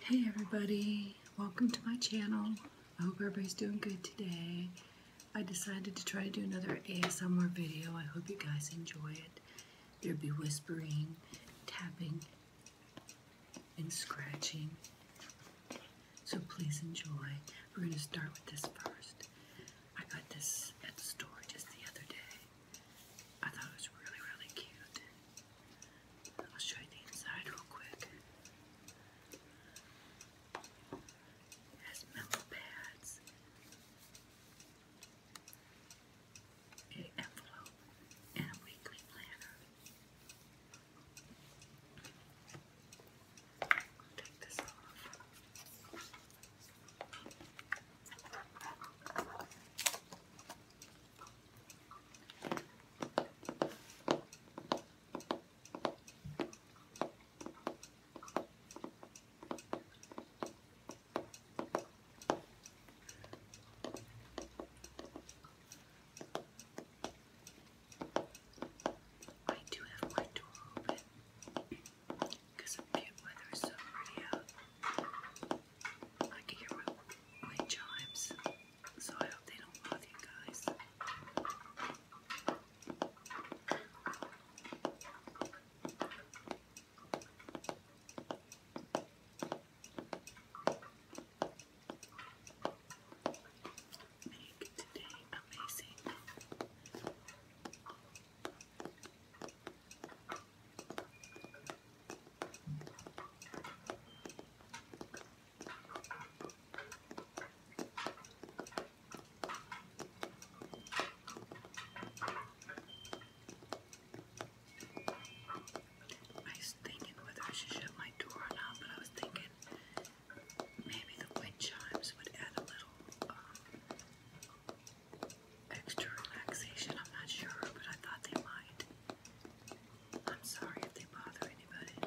Hey everybody, welcome to my channel. I hope everybody's doing good today. I decided to try to do another ASMR video. I hope you guys enjoy it. There'll be whispering, tapping, and scratching. So please enjoy. We're going to start with this first. I got this at the store just the other day. I thought it was really, really cute. I'll show you the inside real quick. has mellow pads. An envelope and a weekly planner. take this off. I do have my door open because the weather is so pretty out. I can hear my, chimes, so I hope they don't bother you guys. Make today amazing. I was thinking whether I should shut my door or not, but I was thinking maybe the wind chimes would add a little um, extra relaxation. I'm not sure, but I thought they might. I'm sorry if they bother anybody.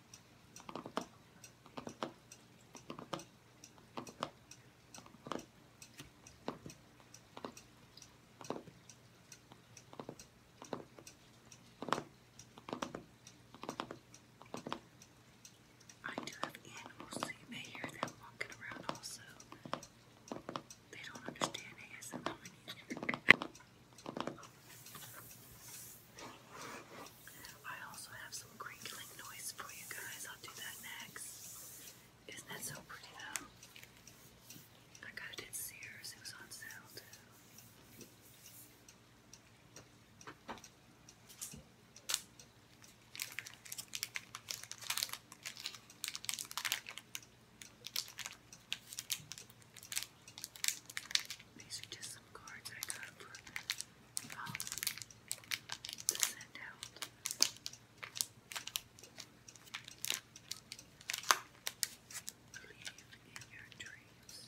I do have animals, so you may hear them walking around also. They don't understand ASMR either. I also have some crinkling noise for you guys. I'll do that next. Isn't that so pretty though? I got it at Sears. It was on sale too. These are just some cards I got for um, to send out. in your dreams.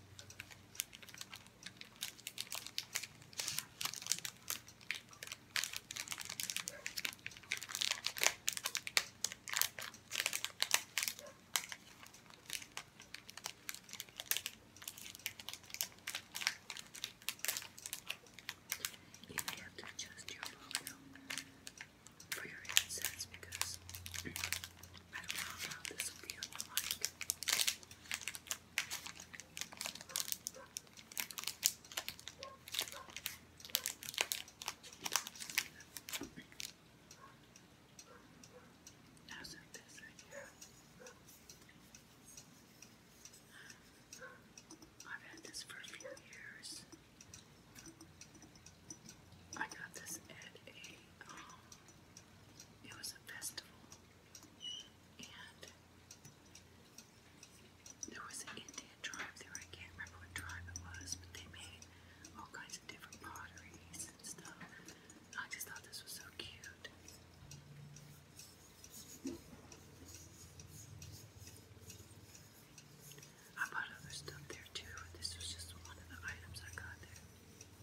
You have to adjust your volume for your headsets because I don't know how this will be on How's that this I've had this for a few years. I got this at a um, it was a festival, and there was an Indian tribe there. I can't remember what tribe it was, but they made all kinds of different pottery and stuff. I just thought this was so cute. I bought other stuff there too, but this was just one of the items I got there.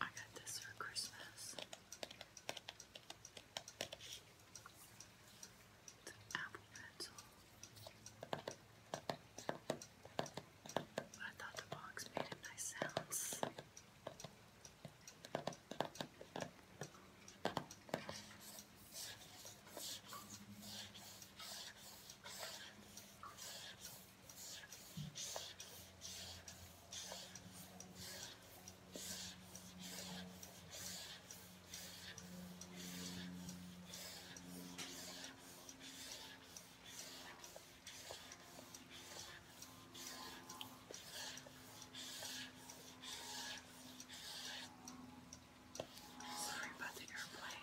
I got this for Christmas. It's Apple pencil. But I thought the box made a nice sounds. Sorry about the airplane.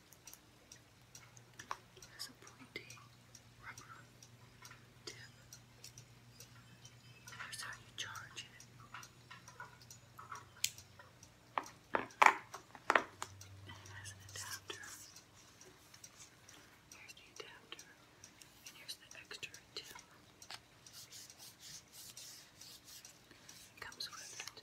It has a pointy rubber tip. Here's how you charge it. it has an adapter. Here's the adapter. And here's the extra tip. comes with it.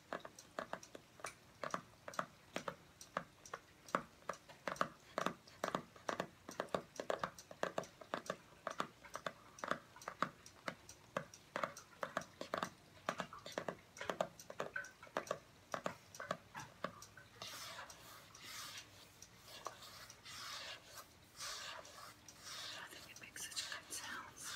I think it makes such good sounds.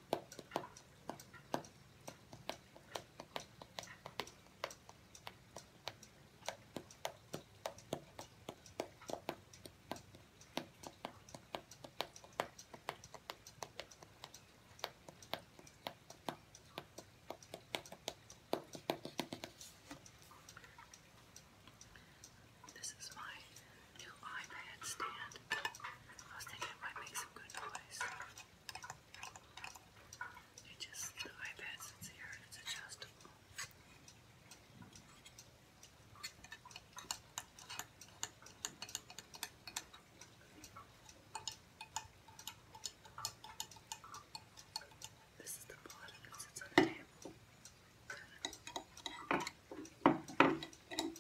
This is my new iPad stand. I was thinking it might make some good noise. It just, the iPad sits here and it's adjustable. This is the bottom that sits on the table.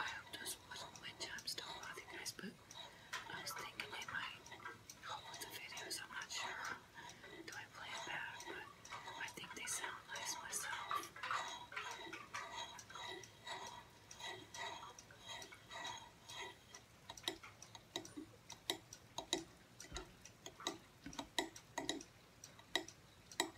I hope this wasn't my time still you guys, but I was thinking they might hold the videos. I'm not sure. Do I play it back? But I think they sound nice myself.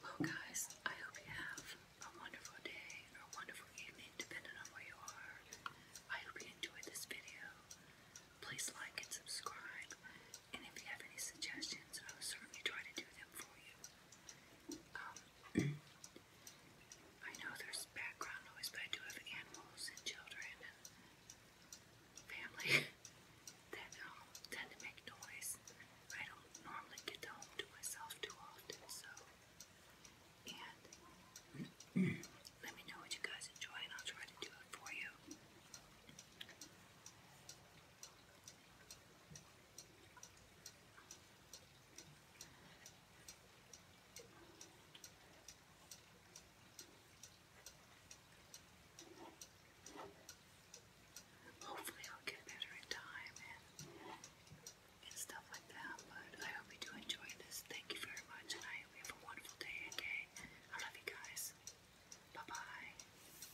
Well, guys, I hope you have a wonderful day or a wonderful evening, depending on where you are. I hope you enjoyed this video. Please like and subscribe. And if you have any suggestions, I will certainly try to do them for you. Um, I know there's background noise, but I do have animals and children and family that um, tend to make noise. I don't normally get home to myself too often, so. And let me know what you guys enjoy, and I'll try to do it for you. Hopefully, I'll get better in time and, stuff like that. But I hope you do enjoy this. Thank you very much, and I hope you have a wonderful day and day. I love you guys. Bye bye.